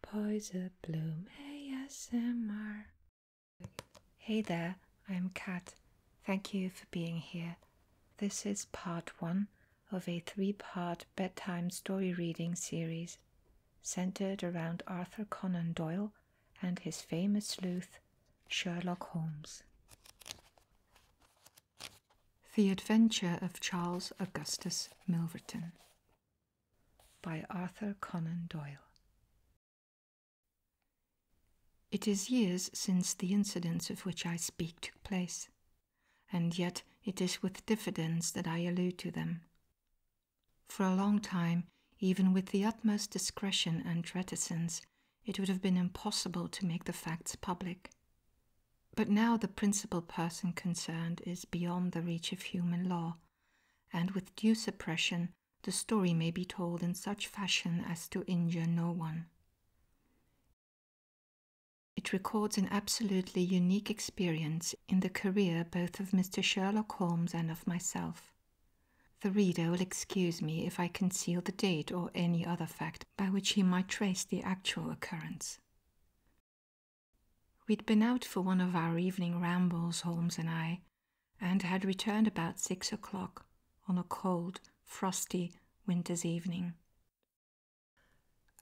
Poison Bloom ASMR. Hey there, I'm Kat. Thank you for being here. This is part one of a three part bedtime story reading series centered around Arthur Conan Doyle and his famous sleuth, Sherlock Holmes. The Adventure of Charles Augustus Milverton by Arthur Conan Doyle. It is years since the incidents of which I speak took place, and yet it is with diffidence that I allude to them. For a long time, even with the utmost discretion and reticence, it would have been impossible to make the facts public. But now the principal person concerned is beyond the reach of human law, and with due suppression, the story may be told in such fashion as to injure no one. It records an absolutely unique experience in the career both of Mr. Sherlock Holmes and of myself. The reader will excuse me if I conceal the date or any other fact by which he might trace the actual occurrence. We'd been out for one of our evening rambles, Holmes and I, and had returned about six o'clock on a cold, frosty winter's evening.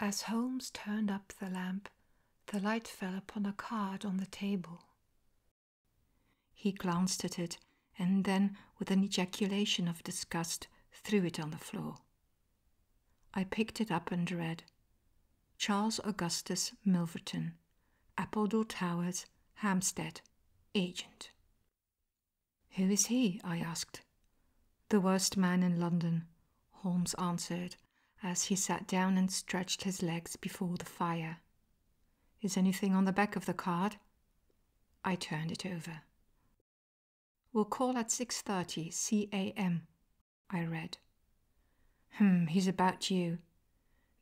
As Holmes turned up the lamp, the light fell upon a card on the table. He glanced at it and then, with an ejaculation of disgust, threw it on the floor. I picked it up and read Charles Augustus Milverton, Appledore Towers, Hampstead, agent. Who is he? I asked. The worst man in London, Holmes answered as he sat down and stretched his legs before the fire. Is anything on the back of the card? I turned it over. We'll call at 6:30 CAM, I read. Hmm, he's about you.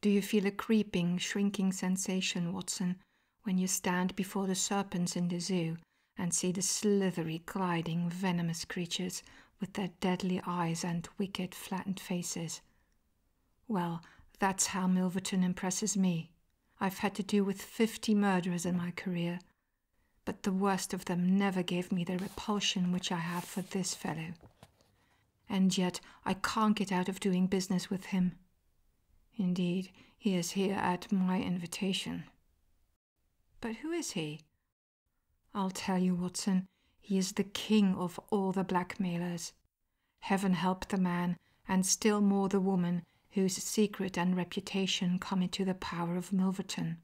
Do you feel a creeping, shrinking sensation, Watson, when you stand before the serpents in the zoo and see the slithery, gliding, venomous creatures with their deadly eyes and wicked, flattened faces? Well, that's how Milverton impresses me. I've had to do with fifty murderers in my career, but the worst of them never gave me the repulsion which I have for this fellow. And yet I can't get out of doing business with him. Indeed, he is here at my invitation. But who is he? I'll tell you, Watson, he is the king of all the blackmailers. Heaven help the man, and still more the woman, whose secret and reputation come into the power of Milverton.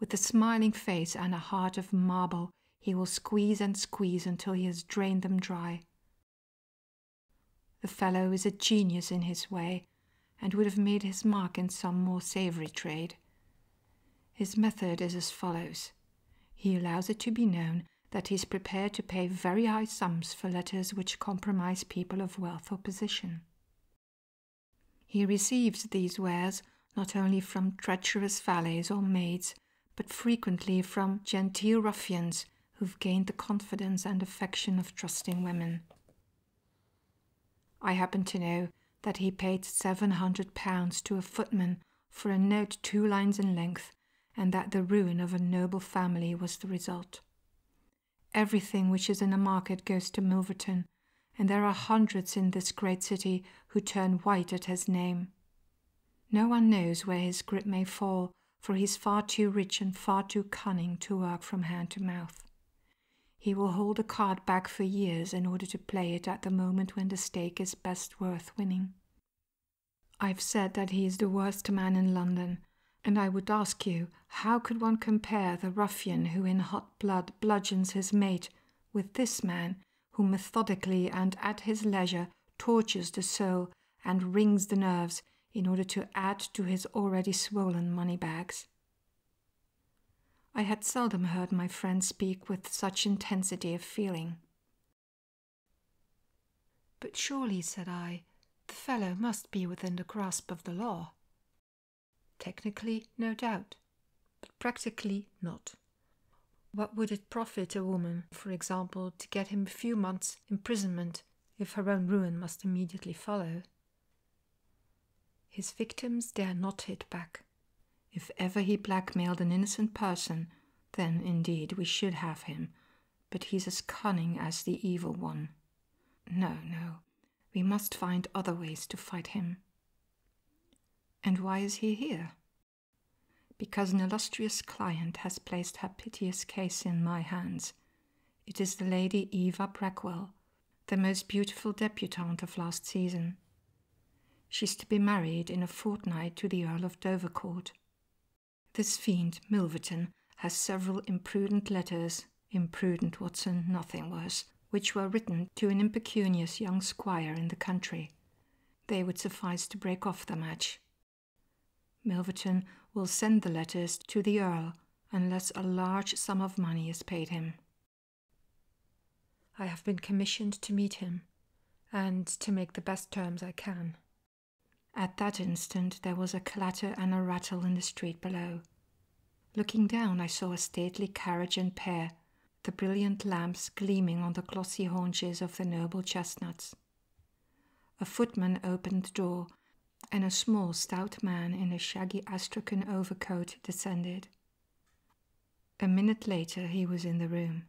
With a smiling face and a heart of marble, he will squeeze and squeeze until he has drained them dry. The fellow is a genius in his way, and would have made his mark in some more savory trade. His method is as follows. He allows it to be known that he is prepared to pay very high sums for letters which compromise people of wealth or position. He receives these wares not only from treacherous valets or maids, but frequently from genteel ruffians who've gained the confidence and affection of trusting women. I happen to know that he paid £700 to a footman for a note two lines in length, and that the ruin of a noble family was the result. Everything which is in the market goes to Milverton, and there are hundreds in this great city who turn white at his name. No one knows where his grip may fall, for he is far too rich and far too cunning to work from hand to mouth. He will hold a card back for years in order to play it at the moment when the stake is best worth winning. I've said that he is the worst man in London, and I would ask you, how could one compare the ruffian who in hot blood bludgeons his mate with this man who methodically and at his leisure tortures the soul and wrings the nerves in order to add to his already swollen money bags. I had seldom heard my friend speak with such intensity of feeling. But surely, said I, the fellow must be within the grasp of the law. Technically, no doubt, but practically not. What would it profit a woman, for example, to get him a few months' imprisonment if her own ruin must immediately follow? His victims dare not hit back. If ever he blackmailed an innocent person, then indeed we should have him, but he's as cunning as the evil one. No, no, we must find other ways to fight him. And why is he here? Because an illustrious client has placed her piteous case in my hands. It is the Lady Eva Brackwell, the most beautiful debutante of last season. She is to be married in a fortnight to the Earl of Dovercourt. This fiend, Milverton, has several imprudent letters, imprudent Watson, nothing worse, which were written to an impecunious young squire in the country. They would suffice to break off the match. Milverton will send the letters to the Earl unless a large sum of money is paid him. I have been commissioned to meet him and to make the best terms I can. At that instant, there was a clatter and a rattle in the street below, Looking down, I saw a stately carriage and pair, the brilliant lamps gleaming on the glossy haunches of the noble chestnuts. A footman opened the door, and a small, stout man in a shaggy astrakhan overcoat descended. A minute later, he was in the room.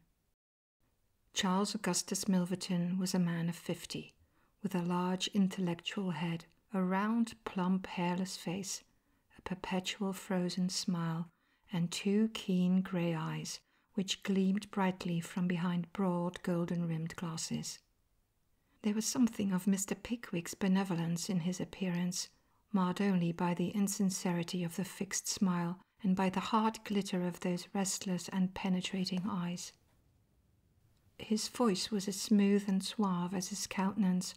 Charles Augustus Milverton was a man of fifty, with a large intellectual head, a round, plump, hairless face, a perpetual frozen smile, and two keen grey eyes which gleamed brightly from behind broad golden rimmed glasses. There was something of Mr. Pickwick's benevolence in his appearance, marred only by the insincerity of the fixed smile and by the hard glitter of those restless and penetrating eyes. His voice was as smooth and suave as his countenance,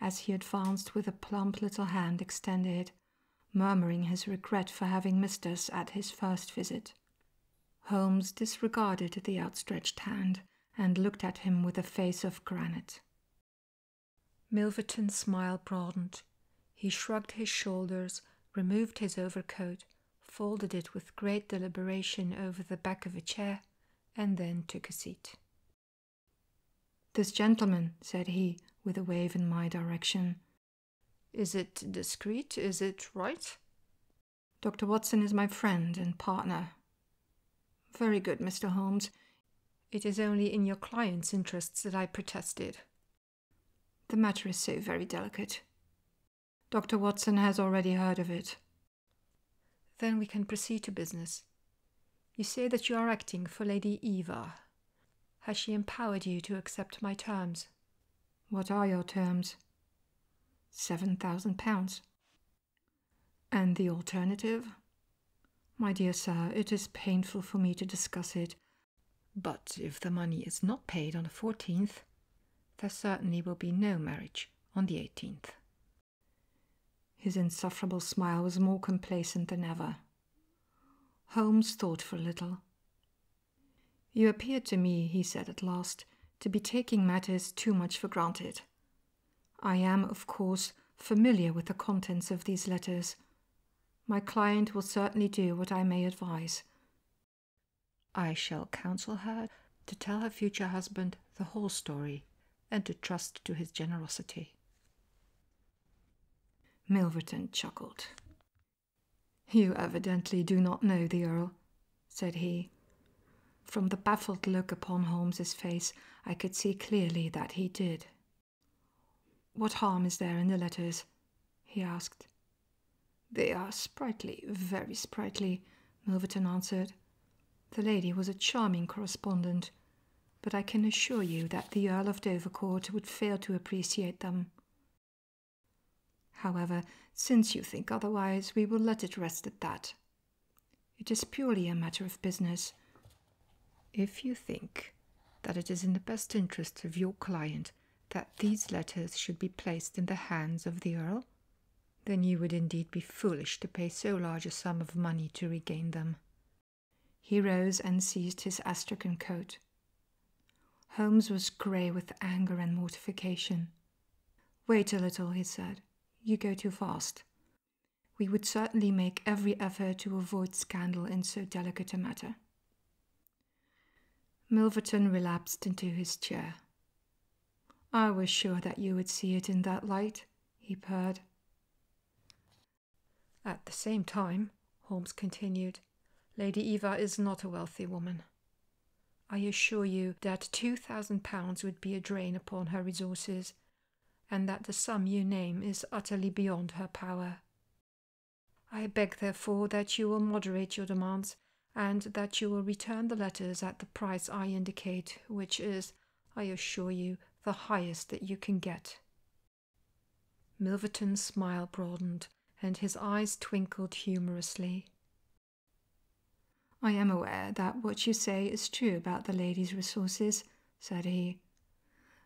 as he advanced with a plump little hand extended, murmuring his regret for having missed us at his first visit. Holmes disregarded the outstretched hand and looked at him with a face of granite. Milverton's smile broadened. He shrugged his shoulders, removed his overcoat, folded it with great deliberation over the back of a chair, and then took a seat. This gentleman, said he, with a wave in my direction. Is it discreet? Is it right? Dr. Watson is my friend and partner. Very good, Mr. Holmes. It is only in your client's interests that I protested. The matter is so very delicate. Dr. Watson has already heard of it. Then we can proceed to business. You say that you are acting for Lady Eva. Has she empowered you to accept my terms? What are your terms? Seven thousand pounds. And the alternative? My dear sir, it is painful for me to discuss it. But if the money is not paid on the 14th, there certainly will be no marriage on the 18th. His insufferable smile was more complacent than ever. Holmes thought for a little. You appear to me, he said at last, to be taking matters too much for granted. I am, of course, familiar with the contents of these letters. My client will certainly do what I may advise. I shall counsel her to tell her future husband the whole story and to trust to his generosity. Milverton chuckled. You evidently do not know the Earl, said he. From the baffled look upon Holmes's face, I could see clearly that he did. What harm is there in the letters? he asked. They are sprightly, very sprightly, Milverton answered. The lady was a charming correspondent, but I can assure you that the Earl of Dovercourt would fail to appreciate them. However, since you think otherwise, we will let it rest at that. It is purely a matter of business. If you think that it is in the best interest of your client that these letters should be placed in the hands of the Earl, then you would indeed be foolish to pay so large a sum of money to regain them. He rose and seized his astrakhan coat. Holmes was grey with anger and mortification. Wait a little, he said. You go too fast. We would certainly make every effort to avoid scandal in so delicate a matter. Milverton relapsed into his chair. I was sure that you would see it in that light, he purred. At the same time, Holmes continued, Lady Eva is not a wealthy woman. I assure you that two thousand pounds would be a drain upon her resources, and that the sum you name is utterly beyond her power. I beg, therefore, that you will moderate your demands, and that you will return the letters at the price I indicate, which is I assure you, the highest that you can get. Milverton's smile broadened and his eyes twinkled humorously. I am aware that what you say is true about the lady's resources, said he.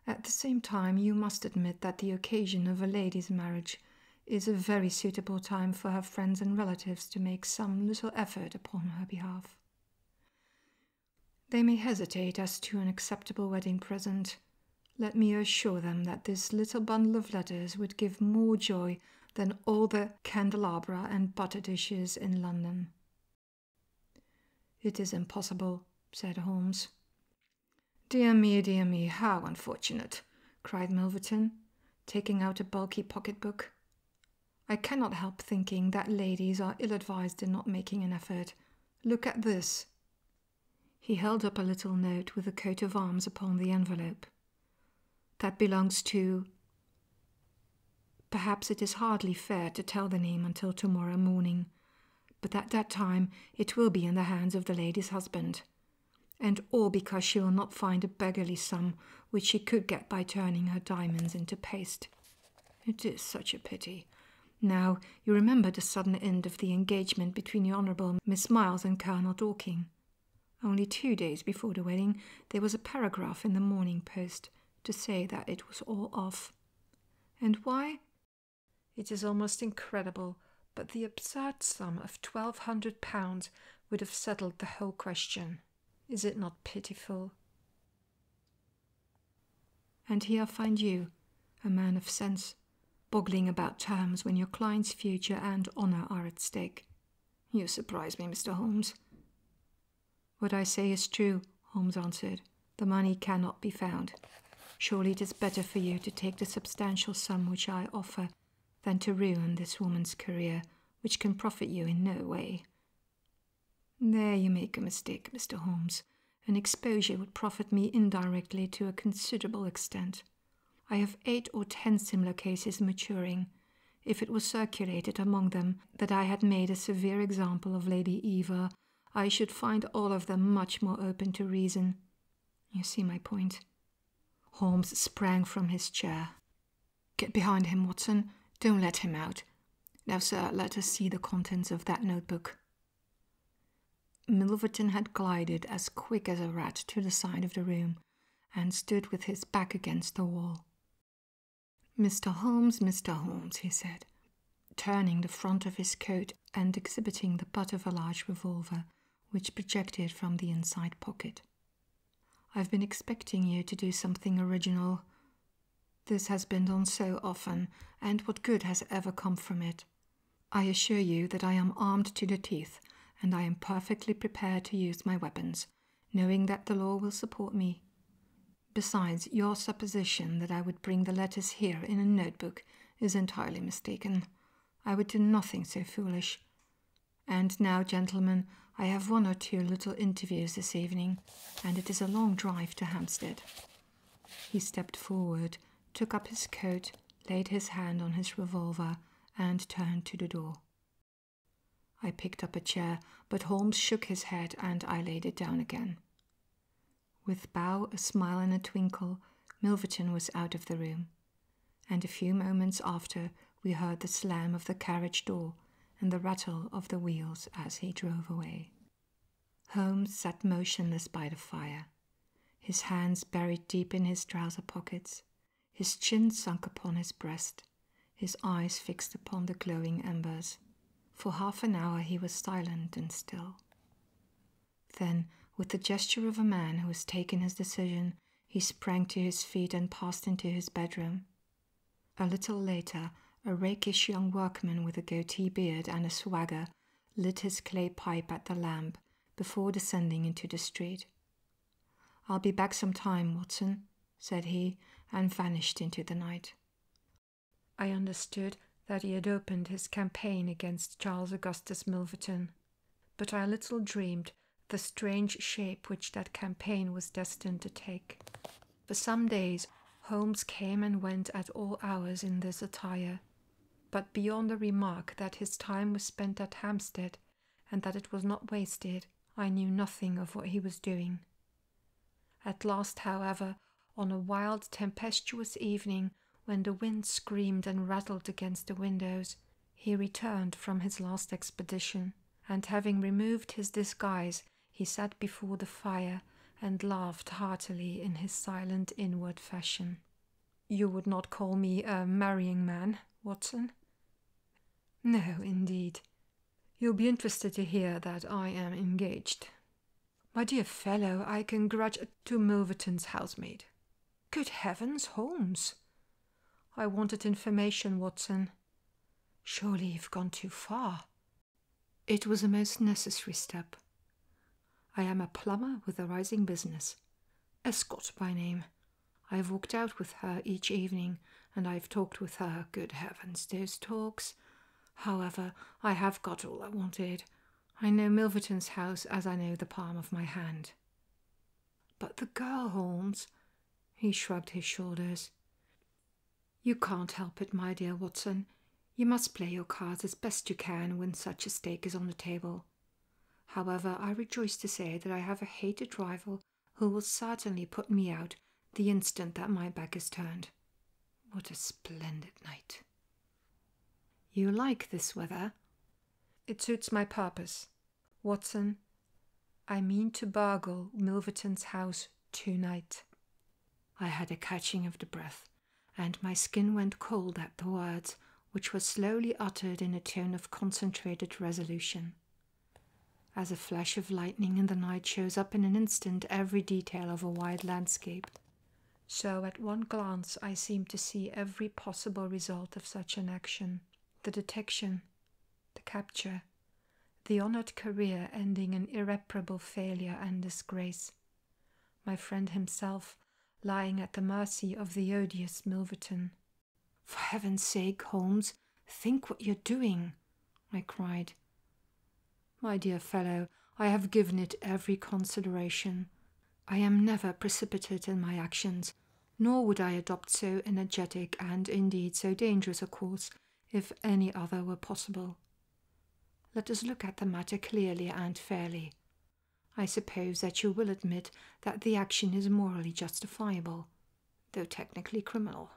At the same time, you must admit that the occasion of a lady's marriage is a very suitable time for her friends and relatives to make some little effort upon her behalf. They may hesitate as to an acceptable wedding present. Let me assure them that this little bundle of letters would give more joy than all the candelabra and butter dishes in London. It is impossible, said Holmes. Dear me, dear me, how unfortunate, cried Milverton, taking out a bulky pocket book. I cannot help thinking that ladies are ill advised in not making an effort. Look at this. He held up a little note with a coat of arms upon the envelope. That belongs to. Perhaps it is hardly fair to tell the name until tomorrow morning, but at that time it will be in the hands of the lady's husband. And all because she will not find a beggarly sum which she could get by turning her diamonds into paste. It is such a pity. Now, you remember the sudden end of the engagement between the Honourable Miss Miles and Colonel Dorking. Only two days before the wedding, there was a paragraph in the Morning Post to say that it was all off. And why? It is almost incredible, but the absurd sum of twelve hundred pounds would have settled the whole question. Is it not pitiful? And here find you, a man of sense, boggling about terms when your client's future and honour are at stake. You surprise me, Mr. Holmes. What I say is true, Holmes answered. The money cannot be found. Surely it is better for you to take the substantial sum which I offer than to ruin this woman's career, which can profit you in no way. There you make a mistake, Mr. Holmes. An exposure would profit me indirectly to a considerable extent. I have eight or ten similar cases maturing. If it was circulated among them that I had made a severe example of Lady Eva, I should find all of them much more open to reason. You see my point. Holmes sprang from his chair. Get behind him, Watson. Don't let him out. Now, sir, let us see the contents of that notebook. Milverton had glided as quick as a rat to the side of the room and stood with his back against the wall. Mr. Holmes, Mr. Holmes, he said, turning the front of his coat and exhibiting the butt of a large revolver which projected from the inside pocket. I've been expecting you to do something original. This has been done so often, and what good has ever come from it? I assure you that I am armed to the teeth, and I am perfectly prepared to use my weapons, knowing that the law will support me. Besides, your supposition that I would bring the letters here in a notebook is entirely mistaken. I would do nothing so foolish. And now, gentlemen, I have one or two little interviews this evening and it is a long drive to Hampstead. He stepped forward, took up his coat, laid his hand on his revolver, and turned to the door. I picked up a chair, but Holmes shook his head and I laid it down again. With bow, a smile, and a twinkle, Milverton was out of the room, and a few moments after we heard the slam of the carriage door and the rattle of the wheels as he drove away. Holmes sat motionless by the fire, his hands buried deep in his trouser pockets, his chin sunk upon his breast, his eyes fixed upon the glowing embers. For half an hour he was silent and still. Then, with the gesture of a man who has taken his decision, he sprang to his feet and passed into his bedroom. A little later, a rakish young workman with a goatee beard and a swagger lit his clay pipe at the lamp before descending into the street. I'll be back some time, Watson, said he, and vanished into the night. I understood that he had opened his campaign against Charles Augustus Milverton, but I little dreamed the strange shape which that campaign was destined to take. For some days, Holmes came and went at all hours in this attire, but beyond the remark that his time was spent at Hampstead and that it was not wasted, I knew nothing of what he was doing. At last, however, on a wild, tempestuous evening, when the wind screamed and rattled against the windows, he returned from his last expedition, and having removed his disguise, he sat before the fire and laughed heartily in his silent inward fashion. You would not call me a marrying man, Watson? No, indeed. You'll be interested to hear that I am engaged. My dear fellow, I can grudge to Milverton's housemaid. Good heavens, Holmes! I wanted information, Watson. Surely you've gone too far. It was a most necessary step. I am a plumber with a rising business, Escott by name. I've walked out with her each evening, and I've talked with her. Good heavens, those talks! However, I have got all I wanted. I know Milverton's house as I know the palm of my hand. But the girl, Holmes. He shrugged his shoulders. You can't help it, my dear Watson. You must play your cards as best you can when such a stake is on the table. However, I rejoice to say that I have a hated rival who will certainly put me out the instant that my back is turned. What a splendid night! You like this weather? It suits my purpose. Watson, I mean to burgle Milverton's house tonight. I had a catching of the breath, and my skin went cold at the words, which were slowly uttered in a tone of concentrated resolution. As a flash of lightning in the night shows up in an instant every detail of a wide landscape, so at one glance I seemed to see every possible result of such an action the detection, the capture, the honored career ending in irreparable failure and disgrace, my friend himself lying at the mercy of the odious Milverton. For heaven's sake, Holmes, think what you're doing, I cried. My dear fellow, I have given it every consideration. I am never precipitate in my actions, nor would I adopt so energetic and indeed so dangerous a course if any other were possible. Let us look at the matter clearly and fairly. I suppose that you will admit that the action is morally justifiable, though technically criminal.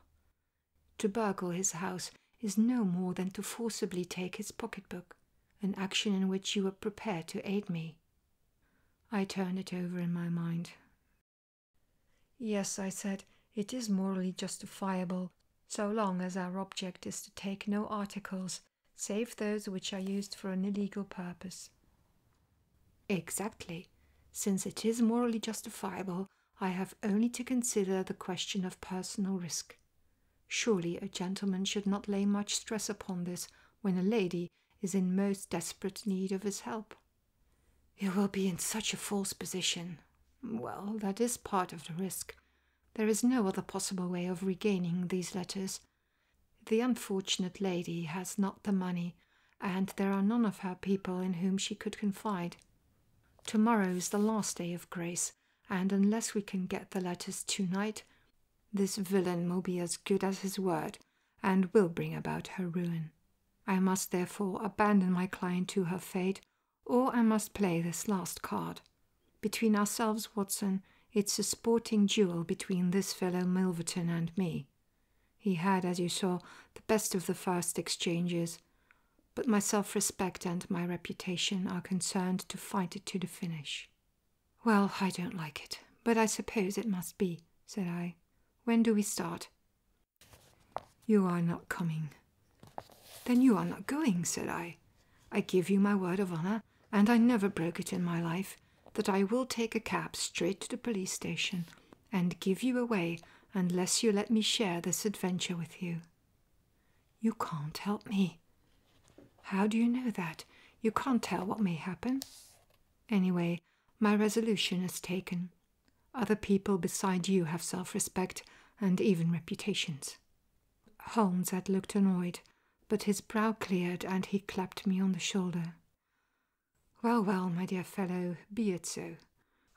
To burgle his house is no more than to forcibly take his pocketbook, an action in which you were prepared to aid me. I turn it over in my mind. Yes, I said, it is morally justifiable, so long as our object is to take no articles save those which are used for an illegal purpose. Exactly. Since it is morally justifiable, I have only to consider the question of personal risk. Surely a gentleman should not lay much stress upon this when a lady is in most desperate need of his help. You will be in such a false position. Well, that is part of the risk. There is no other possible way of regaining these letters. The unfortunate lady has not the money, and there are none of her people in whom she could confide. Tomorrow is the last day of grace, and unless we can get the letters tonight, this villain will be as good as his word and will bring about her ruin. I must therefore abandon my client to her fate or I must play this last card. Between ourselves, Watson, it's a sporting duel between this fellow Milverton and me. He had, as you saw, the best of the first exchanges, but my self respect and my reputation are concerned to fight it to the finish. Well, I don't like it, but I suppose it must be, said I. When do we start? You are not coming. Then you are not going, said I. I give you my word of honour, and I never broke it in my life, that I will take a cab straight to the police station and give you away unless you let me share this adventure with you. You can't help me. How do you know that? You can't tell what may happen. Anyway, my resolution is taken, other people beside you have self respect and even reputations. Holmes had looked annoyed, but his brow cleared and he clapped me on the shoulder. Well, well, my dear fellow, be it so.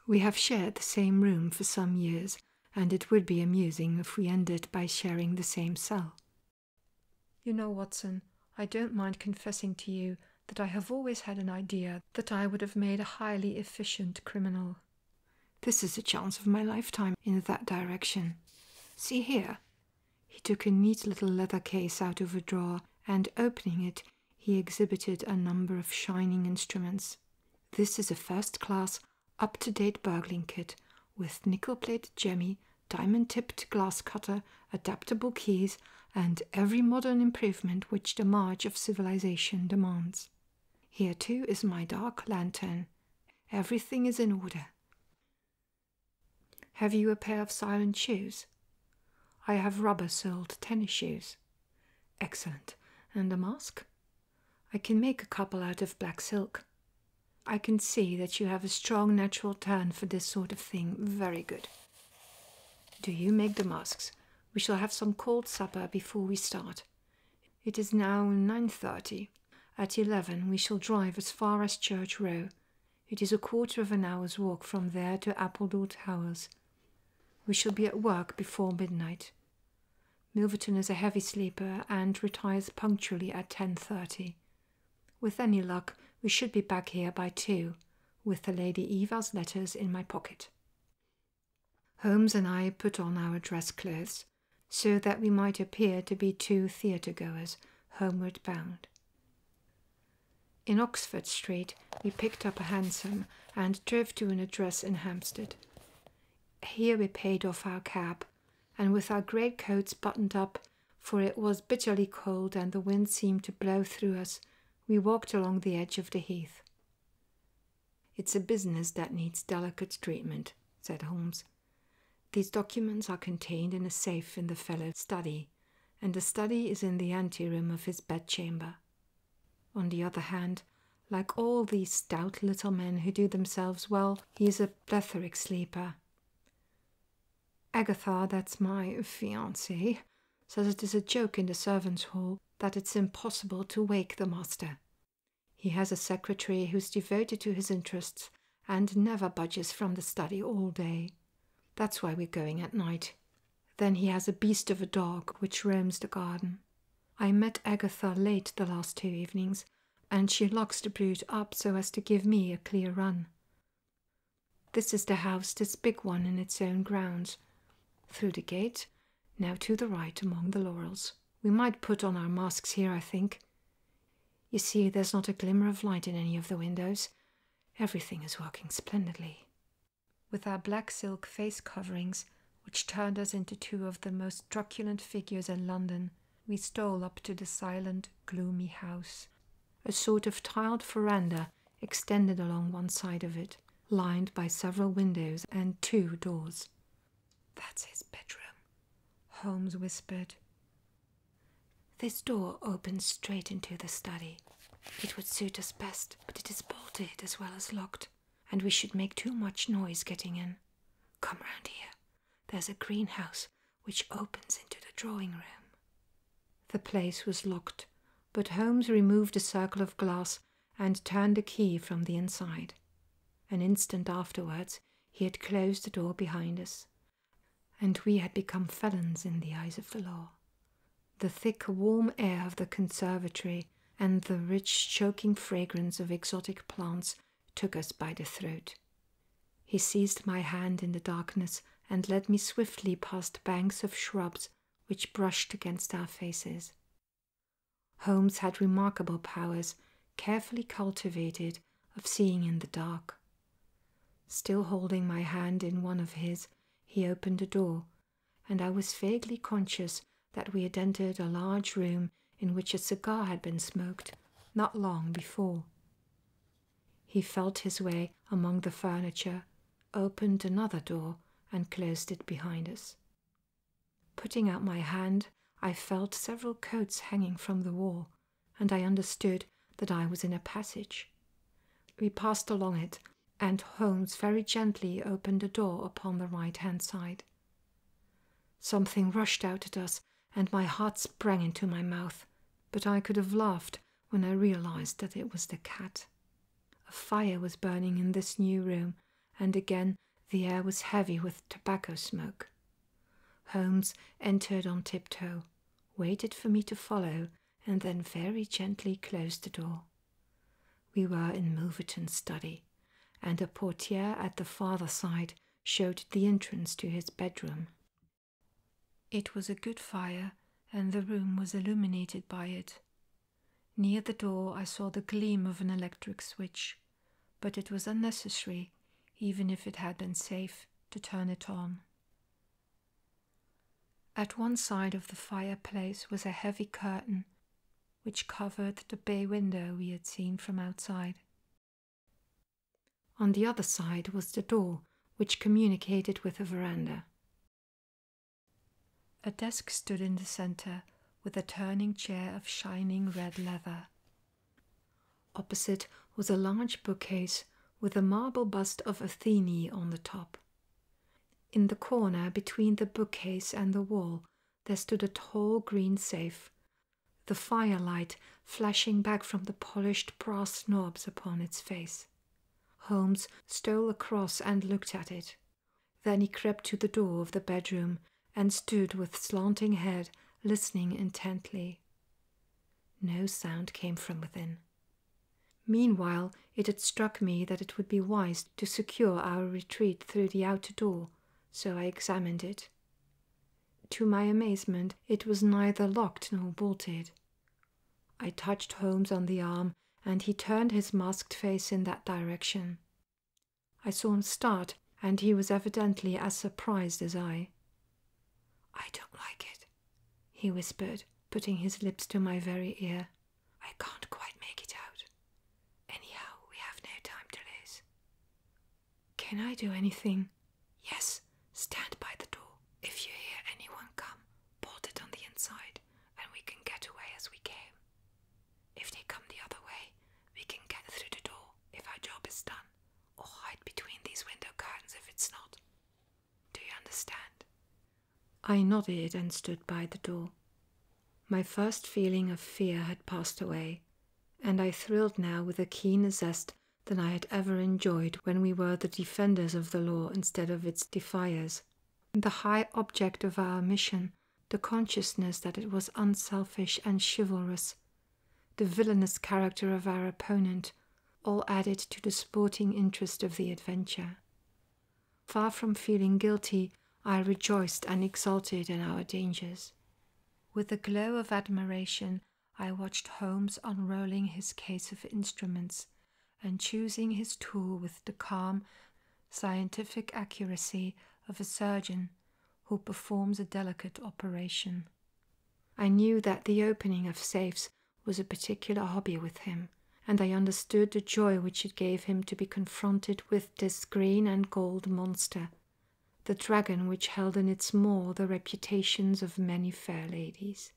We have shared the same room for some years, and it would be amusing if we ended by sharing the same cell. You know, Watson, I don't mind confessing to you that I have always had an idea that I would have made a highly efficient criminal. This is a chance of my lifetime in that direction. See here. He took a neat little leather case out of a drawer, and opening it, he exhibited a number of shining instruments. This is a first class, up to date burgling kit with nickel plated jemmy, diamond tipped glass cutter, adaptable keys, and every modern improvement which the march of civilization demands. Here too is my dark lantern. Everything is in order. Have you a pair of silent shoes? I have rubber soled tennis shoes. Excellent. And a mask? I can make a couple out of black silk. I can see that you have a strong natural turn for this sort of thing. Very good. Do you make the masks? We shall have some cold supper before we start. It is now nine thirty. At eleven we shall drive as far as Church Row. It is a quarter of an hour's walk from there to Appledore Towers. We shall be at work before midnight. Milverton is a heavy sleeper and retires punctually at ten thirty. With any luck, we should be back here by two, with the Lady Eva's letters in my pocket. Holmes and I put on our dress clothes so that we might appear to be two theatre goers homeward bound. In Oxford Street, we picked up a hansom and drove to an address in Hampstead. Here we paid off our cab, and with our great coats buttoned up, for it was bitterly cold and the wind seemed to blow through us, we walked along the edge of the heath. It's a business that needs delicate treatment, said Holmes. These documents are contained in a safe in the fellow's study, and the study is in the anteroom of his bedchamber. On the other hand, like all these stout little men who do themselves well, he is a plethoric sleeper. Agatha, that's my fiancée, says it is a joke in the servants' hall that it's impossible to wake the master. He has a secretary who's devoted to his interests and never budges from the study all day. That's why we're going at night. Then he has a beast of a dog which roams the garden. I met Agatha late the last two evenings, and she locks the brute up so as to give me a clear run. This is the house, this big one in its own grounds. Through the gate, now to the right among the laurels. We might put on our masks here, I think. You see, there's not a glimmer of light in any of the windows. Everything is working splendidly. With our black silk face coverings, which turned us into two of the most truculent figures in London, we stole up to the silent, gloomy house. A sort of tiled veranda extended along one side of it, lined by several windows and two doors. That's his bedroom, Holmes whispered. This door opens straight into the study. It would suit us best, but it is bolted as well as locked, and we should make too much noise getting in. Come round here. There's a greenhouse which opens into the drawing room. The place was locked, but Holmes removed a circle of glass and turned the key from the inside. An instant afterwards, he had closed the door behind us, and we had become felons in the eyes of the law. The thick, warm air of the conservatory and the rich, choking fragrance of exotic plants took us by the throat. He seized my hand in the darkness and led me swiftly past banks of shrubs which brushed against our faces. Holmes had remarkable powers, carefully cultivated, of seeing in the dark. Still holding my hand in one of his, he opened a door, and I was vaguely conscious that we had entered a large room in which a cigar had been smoked not long before. He felt his way among the furniture, opened another door, and closed it behind us. Putting out my hand, I felt several coats hanging from the wall, and I understood that I was in a passage. We passed along it, and Holmes very gently opened a door upon the right hand side. Something rushed out at us, and my heart sprang into my mouth, but I could have laughed when I realized that it was the cat. A fire was burning in this new room, and again the air was heavy with tobacco smoke. Holmes entered on tiptoe, waited for me to follow, and then very gently closed the door. We were in Milverton's study, and a portiere at the farther side showed the entrance to his bedroom. It was a good fire, and the room was illuminated by it. Near the door, I saw the gleam of an electric switch, but it was unnecessary, even if it had been safe, to turn it on. At one side of the fireplace was a heavy curtain which covered the bay window we had seen from outside. On the other side was the door which communicated with the veranda. A desk stood in the center with a turning chair of shining red leather. Opposite was a large bookcase with a marble bust of Athene on the top. In the corner between the bookcase and the wall, there stood a tall green safe, the firelight flashing back from the polished brass knobs upon its face. Holmes stole across and looked at it. Then he crept to the door of the bedroom and stood with slanting head, listening intently. No sound came from within. Meanwhile, it had struck me that it would be wise to secure our retreat through the outer door, so I examined it. To my amazement, it was neither locked nor bolted. I touched Holmes on the arm, and he turned his masked face in that direction. I saw him start, and he was evidently as surprised as I. I don't like it, he whispered, putting his lips to my very ear. I can't quite make it out. Anyhow, we have no time to lose. Can I do anything? Yes, stand by the door. If you hear anyone come, bolt it on the inside, and we can get away as we came. If they come the other way, we can get through the door if our job is done, or hide between these window curtains if it's not. Do you understand? I nodded and stood by the door. My first feeling of fear had passed away, and I thrilled now with a keener zest than I had ever enjoyed when we were the defenders of the law instead of its defiers. The high object of our mission the consciousness that it was unselfish and chivalrous, the villainous character of our opponent, all added to the sporting interest of the adventure. Far from feeling guilty, I rejoiced and exulted in our dangers. With a glow of admiration, I watched Holmes unrolling his case of instruments and choosing his tool with the calm scientific accuracy of a surgeon who performs a delicate operation. I knew that the opening of safes was a particular hobby with him, and I understood the joy which it gave him to be confronted with this green and gold monster, the dragon which held in its maw the reputations of many fair ladies.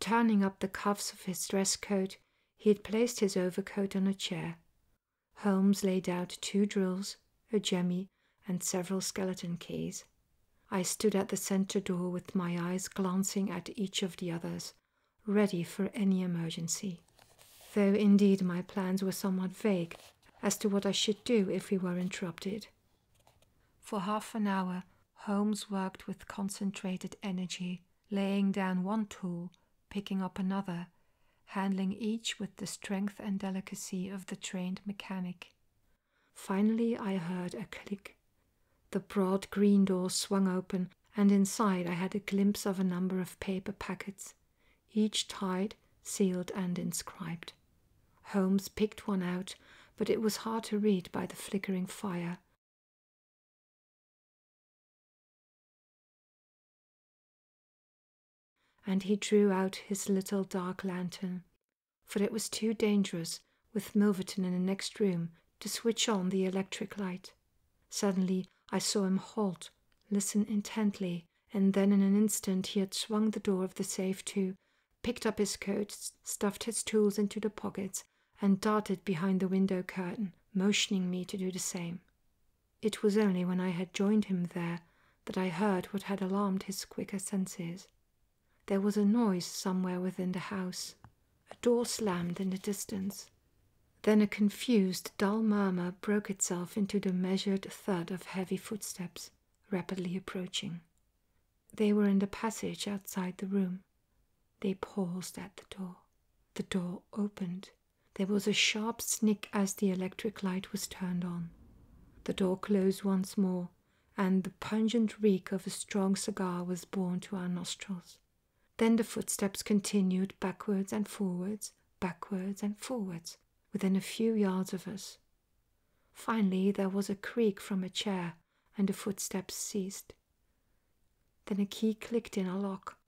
Turning up the cuffs of his dress coat, he had placed his overcoat on a chair. Holmes laid out two drills, a jemmy, and several skeleton keys. I stood at the centre door with my eyes glancing at each of the others, ready for any emergency. Though indeed my plans were somewhat vague as to what I should do if we were interrupted. For half an hour, Holmes worked with concentrated energy, laying down one tool, picking up another, handling each with the strength and delicacy of the trained mechanic. Finally, I heard a click. The broad green door swung open, and inside I had a glimpse of a number of paper packets, each tied, sealed, and inscribed. Holmes picked one out, but it was hard to read by the flickering fire, and he drew out his little dark lantern, for it was too dangerous, with Milverton in the next room, to switch on the electric light. Suddenly I saw him halt, listen intently, and then in an instant he had swung the door of the safe to, picked up his coat, stuffed his tools into the pockets, and darted behind the window curtain, motioning me to do the same. It was only when I had joined him there that I heard what had alarmed his quicker senses. There was a noise somewhere within the house. A door slammed in the distance. Then a confused, dull murmur broke itself into the measured thud of heavy footsteps rapidly approaching. They were in the passage outside the room. They paused at the door. The door opened. There was a sharp snick as the electric light was turned on. The door closed once more, and the pungent reek of a strong cigar was borne to our nostrils. Then the footsteps continued backwards and forwards, backwards and forwards, within a few yards of us. Finally, there was a creak from a chair, and the footsteps ceased. Then a key clicked in a lock,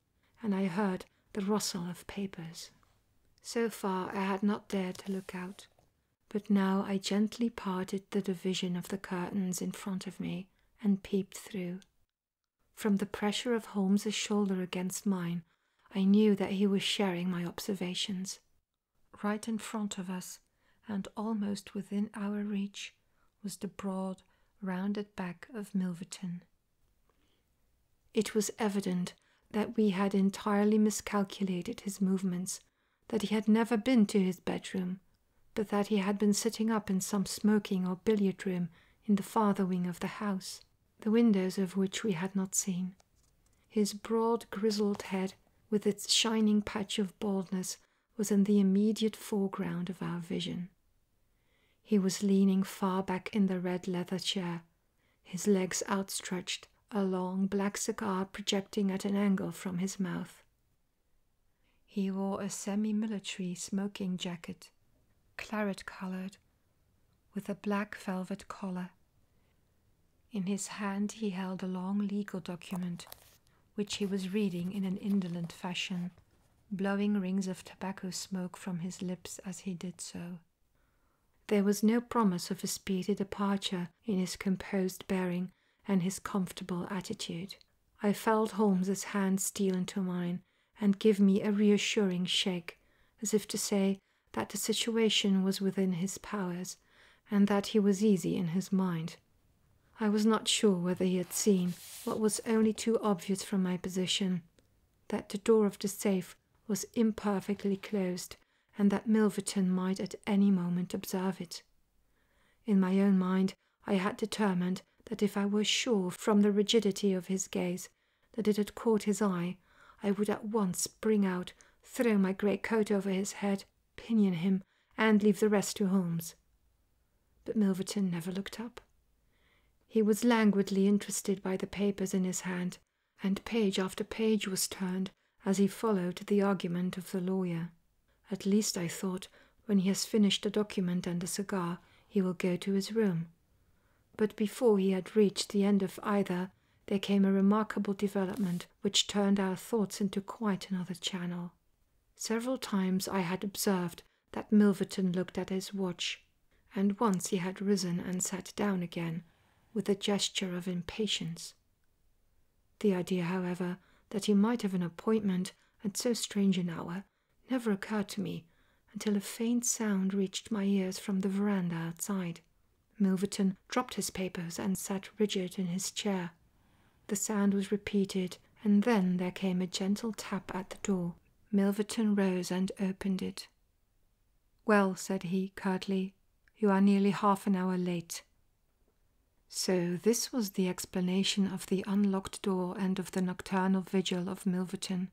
and I heard the rustle of papers. So far I had not dared to look out, but now I gently parted the division of the curtains in front of me and peeped through. From the pressure of Holmes's shoulder against mine, I knew that he was sharing my observations. Right in front of us, and almost within our reach, was the broad, rounded back of Milverton. It was evident that we had entirely miscalculated his movements, that he had never been to his bedroom, but that he had been sitting up in some smoking or billiard room in the farther wing of the house, the windows of which we had not seen. His broad, grizzled head, with its shining patch of baldness, was in the immediate foreground of our vision, he was leaning far back in the red leather chair, his legs outstretched, a long black cigar projecting at an angle from his mouth. He wore a semi military smoking jacket, claret colored, with a black velvet collar. In his hand, he held a long legal document, which he was reading in an indolent fashion blowing rings of tobacco smoke from his lips as he did so. There was no promise of a speedy departure in his composed bearing and his comfortable attitude. I felt Holmes's hand steal into mine and give me a reassuring shake, as if to say that the situation was within his powers and that he was easy in his mind. I was not sure whether he had seen what was only too obvious from my position that the door of the safe was imperfectly closed and that Milverton might at any moment observe it. In my own mind, I had determined that if I were sure from the rigidity of his gaze that it had caught his eye, I would at once spring out, throw my great coat over his head, pinion him, and leave the rest to Holmes. But Milverton never looked up. He was languidly interested by the papers in his hand, and page after page was turned as he followed the argument of the lawyer. At least, I thought, when he has finished a document and a cigar, he will go to his room. But before he had reached the end of either, there came a remarkable development which turned our thoughts into quite another channel. Several times I had observed that Milverton looked at his watch, and once he had risen and sat down again with a gesture of impatience. The idea, however, that he might have an appointment at so strange an hour never occurred to me until a faint sound reached my ears from the veranda outside. Milverton dropped his papers and sat rigid in his chair. The sound was repeated, and then there came a gentle tap at the door. Milverton rose and opened it. Well, said he curtly, you are nearly half an hour late. So this was the explanation of the unlocked door and of the nocturnal vigil of Milverton.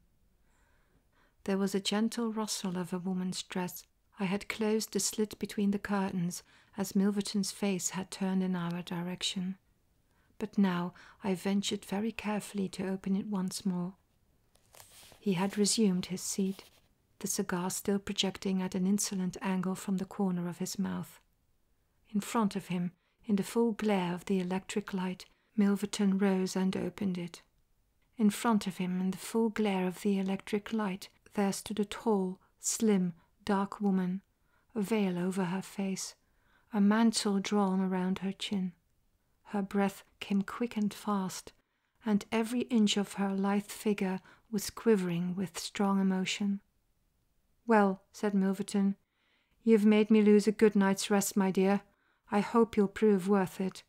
There was a gentle rustle of a woman's dress. I had closed the slit between the curtains as Milverton's face had turned in our direction. But now I ventured very carefully to open it once more. He had resumed his seat, the cigar still projecting at an insolent angle from the corner of his mouth. In front of him, in the full glare of the electric light, Milverton rose and opened it. In front of him, in the full glare of the electric light, there stood a tall, slim, dark woman, a veil over her face, a mantle drawn around her chin. Her breath came quick and fast, and every inch of her lithe figure was quivering with strong emotion. Well, said Milverton, you've made me lose a good night's rest, my dear. I hope you'll prove worth it.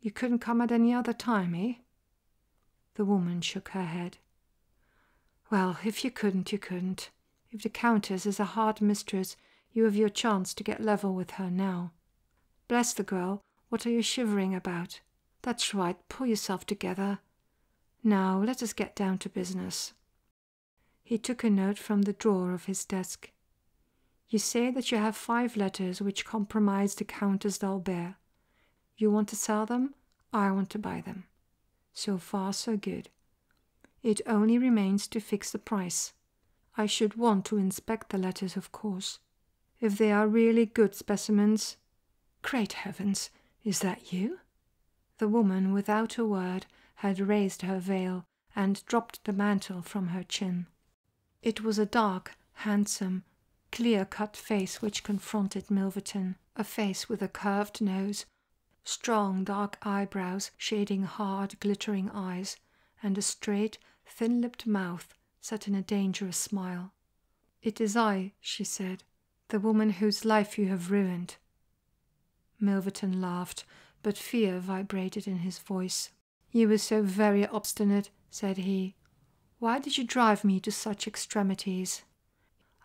You couldn't come at any other time, eh? The woman shook her head. Well, if you couldn't, you couldn't. If the Countess is a hard mistress, you have your chance to get level with her now. Bless the girl, what are you shivering about? That's right, pull yourself together. Now let us get down to business. He took a note from the drawer of his desk. You say that you have five letters which compromise the Countess d'Albert. You want to sell them, I want to buy them. So far, so good. It only remains to fix the price. I should want to inspect the letters, of course. If they are really good specimens. Great heavens, is that you? The woman, without a word, had raised her veil and dropped the mantle from her chin. It was a dark, handsome, clear cut face which confronted Milverton, a face with a curved nose Strong dark eyebrows shading hard, glittering eyes, and a straight, thin lipped mouth set in a dangerous smile. It is I, she said, the woman whose life you have ruined. Milverton laughed, but fear vibrated in his voice. You were so very obstinate, said he. Why did you drive me to such extremities?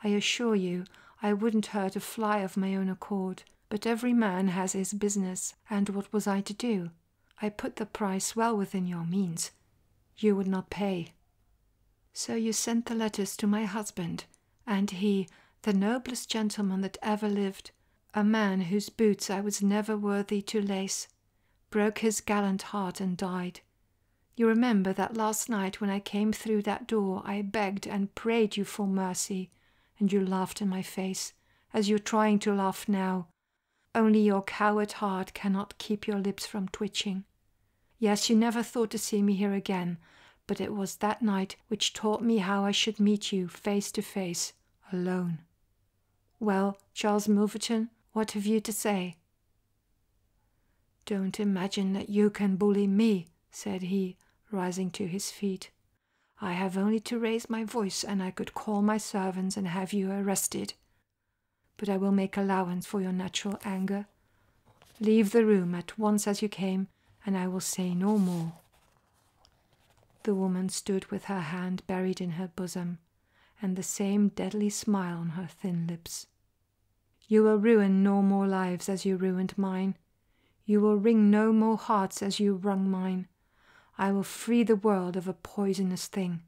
I assure you I wouldn't hurt a fly of my own accord, but every man has his business, and what was I to do? I put the price well within your means. You would not pay. So you sent the letters to my husband, and he, the noblest gentleman that ever lived, a man whose boots I was never worthy to lace, broke his gallant heart and died. You remember that last night when I came through that door I begged and prayed you for mercy, and you laughed in my face, as you're trying to laugh now. Only your coward heart cannot keep your lips from twitching. Yes, you never thought to see me here again, but it was that night which taught me how I should meet you face to face, alone. Well, Charles Milverton, what have you to say? Don't imagine that you can bully me, said he, rising to his feet. I have only to raise my voice, and I could call my servants and have you arrested. But I will make allowance for your natural anger. Leave the room at once as you came, and I will say no more. The woman stood with her hand buried in her bosom, and the same deadly smile on her thin lips. You will ruin no more lives as you ruined mine, you will wring no more hearts as you wrung mine. I will free the world of a poisonous thing.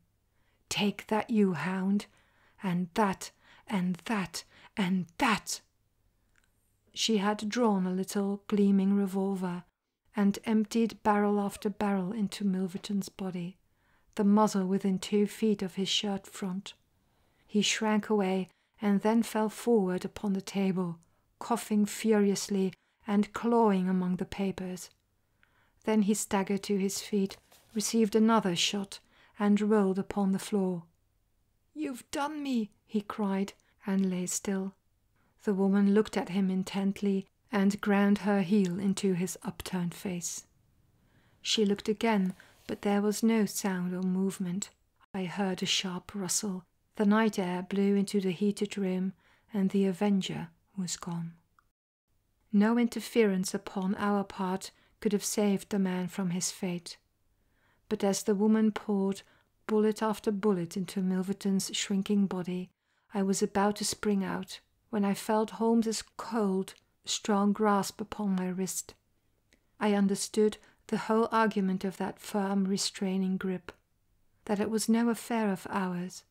Take that, you hound, and that, and that, and that. She had drawn a little gleaming revolver and emptied barrel after barrel into Milverton's body, the muzzle within two feet of his shirt front. He shrank away and then fell forward upon the table, coughing furiously and clawing among the papers. Then he staggered to his feet, received another shot, and rolled upon the floor. You've done me, he cried, and lay still. The woman looked at him intently and ground her heel into his upturned face. She looked again, but there was no sound or movement. I heard a sharp rustle the night air blew into the heated room, and the Avenger was gone. No interference upon our part could have saved the man from his fate. But as the woman poured bullet after bullet into Milverton's shrinking body, I was about to spring out when I felt Holmes's cold, strong grasp upon my wrist I understood the whole argument of that firm, restraining grip, that it was no affair of ours,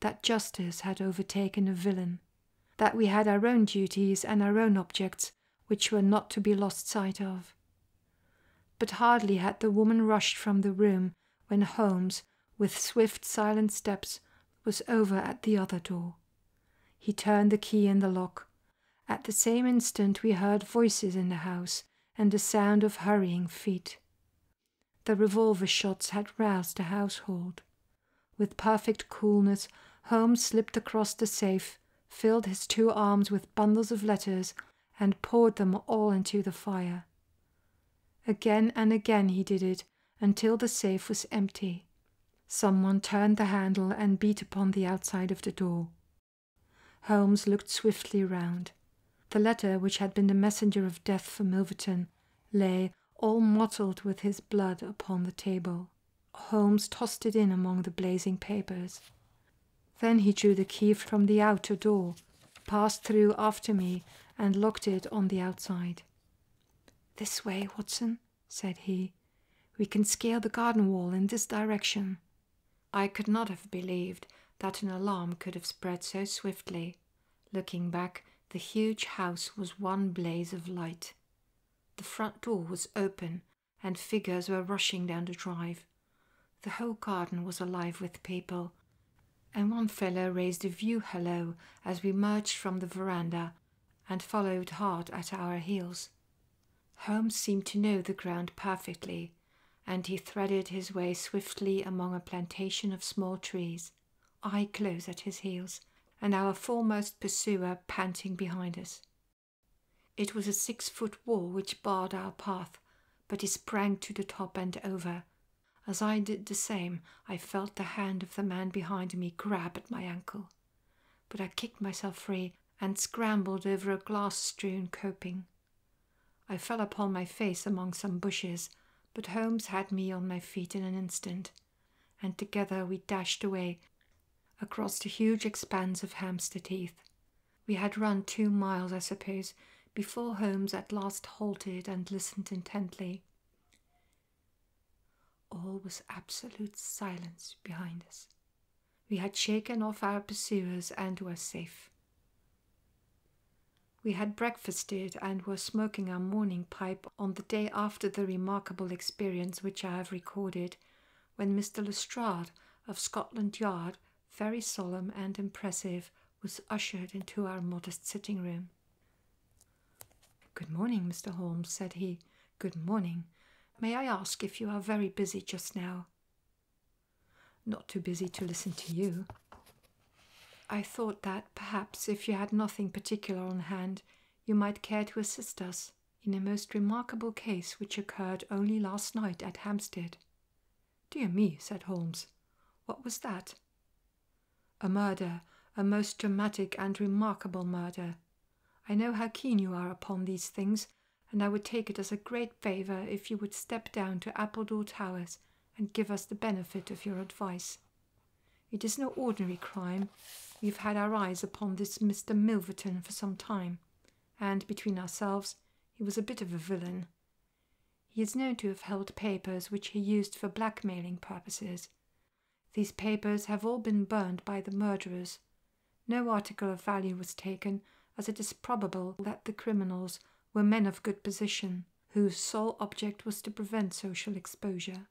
that justice had overtaken a villain, that we had our own duties and our own objects which were not to be lost sight of. But hardly had the woman rushed from the room when Holmes, with swift, silent steps, was over at the other door. He turned the key in the lock at the same instant, we heard voices in the house and the sound of hurrying feet. The revolver shots had roused the household. With perfect coolness, Holmes slipped across the safe, filled his two arms with bundles of letters, and poured them all into the fire. Again and again he did it until the safe was empty. Someone turned the handle and beat upon the outside of the door. Holmes looked swiftly round. The letter which had been the messenger of death for Milverton lay, all mottled with his blood, upon the table. Holmes tossed it in among the blazing papers. Then he drew the key from the outer door, passed through after me, and locked it on the outside. This way, Watson, said he. We can scale the garden wall in this direction. I could not have believed that an alarm could have spread so swiftly. Looking back, the huge house was one blaze of light. The front door was open, and figures were rushing down the drive. The whole garden was alive with people, and one fellow raised a view hello as we emerged from the veranda and followed hard at our heels. Holmes seemed to know the ground perfectly, and he threaded his way swiftly among a plantation of small trees, I close at his heels, and our foremost pursuer panting behind us. It was a six foot wall which barred our path, but he sprang to the top and over. As I did the same, I felt the hand of the man behind me grab at my ankle. But I kicked myself free and scrambled over a glass strewn coping. I fell upon my face among some bushes, but Holmes had me on my feet in an instant, and together we dashed away across the huge expanse of Hampstead Heath. We had run two miles, I suppose, before Holmes at last halted and listened intently. All was absolute silence behind us. We had shaken off our pursuers and were safe. We had breakfasted and were smoking our morning pipe on the day after the remarkable experience which I have recorded, when Mr. Lestrade of Scotland Yard, very solemn and impressive, was ushered into our modest sitting room. Good morning, Mr. Holmes, said he. Good morning. May I ask if you are very busy just now? Not too busy to listen to you. I thought that perhaps if you had nothing particular on hand, you might care to assist us in a most remarkable case which occurred only last night at Hampstead. Dear me, said Holmes, what was that? A murder, a most dramatic and remarkable murder. I know how keen you are upon these things, and I would take it as a great favour if you would step down to Appledore Towers and give us the benefit of your advice. It is no ordinary crime. We've had our eyes upon this Mr. Milverton for some time, and between ourselves, he was a bit of a villain. He is known to have held papers which he used for blackmailing purposes. These papers have all been burned by the murderers, no article of value was taken, as it is probable that the criminals were men of good position, whose sole object was to prevent social exposure.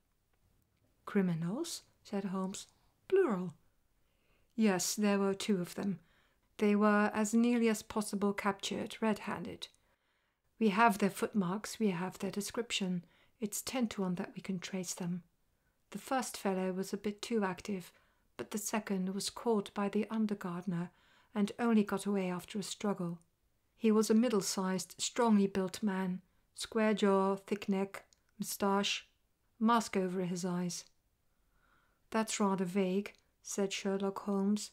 Criminals? said Holmes. Plural. Yes, there were two of them. They were as nearly as possible captured red handed. We have their footmarks, we have their description. It's ten to one that we can trace them. The first fellow was a bit too active, but the second was caught by the under gardener and only got away after a struggle. He was a middle sized, strongly built man, square jaw, thick neck, moustache, mask over his eyes. That's rather vague, said Sherlock Holmes.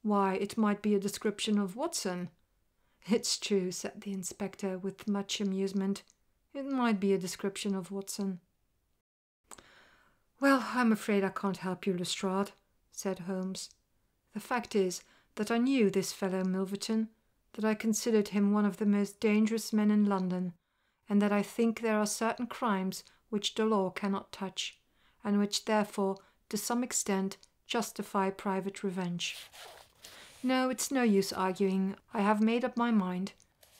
Why, it might be a description of Watson. It's true, said the inspector with much amusement. It might be a description of Watson. Well, I'm afraid I can't help you, Lestrade, said Holmes. The fact is that I knew this fellow Milverton, that I considered him one of the most dangerous men in London, and that I think there are certain crimes which the law cannot touch, and which therefore, to some extent, justify private revenge. No, it's no use arguing. I have made up my mind.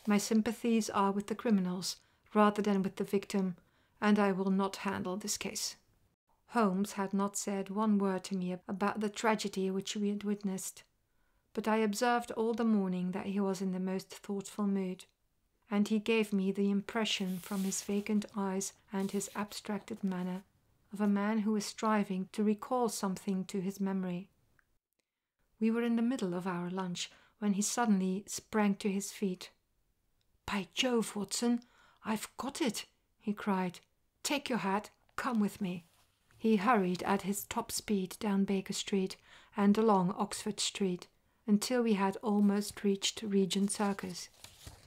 My sympathies are with the criminals rather than with the victim, and I will not handle this case. Holmes had not said one word to me about the tragedy which we had witnessed, but I observed all the morning that he was in the most thoughtful mood, and he gave me the impression from his vacant eyes and his abstracted manner of a man who is striving to recall something to his memory. We were in the middle of our lunch when he suddenly sprang to his feet. By Jove, Watson, I've got it, he cried. Take your hat, come with me. He hurried at his top speed down Baker Street and along Oxford Street until we had almost reached Regent Circus.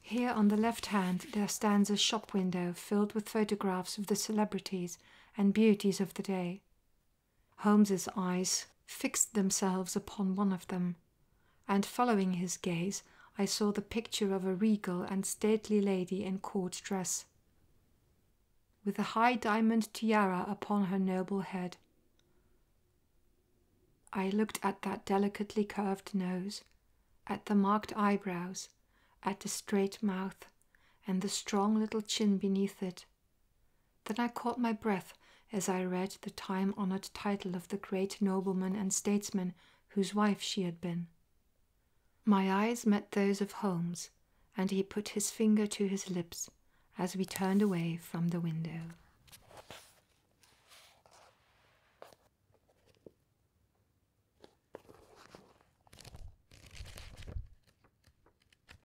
Here on the left hand there stands a shop window filled with photographs of the celebrities and beauties of the day. Holmes's eyes fixed themselves upon one of them, and following his gaze, I saw the picture of a regal and stately lady in court dress, with a high diamond tiara upon her noble head. I looked at that delicately curved nose, at the marked eyebrows, at the straight mouth, and the strong little chin beneath it, then I caught my breath as I read the time honored title of the great nobleman and statesman whose wife she had been. My eyes met those of Holmes, and he put his finger to his lips as we turned away from the window.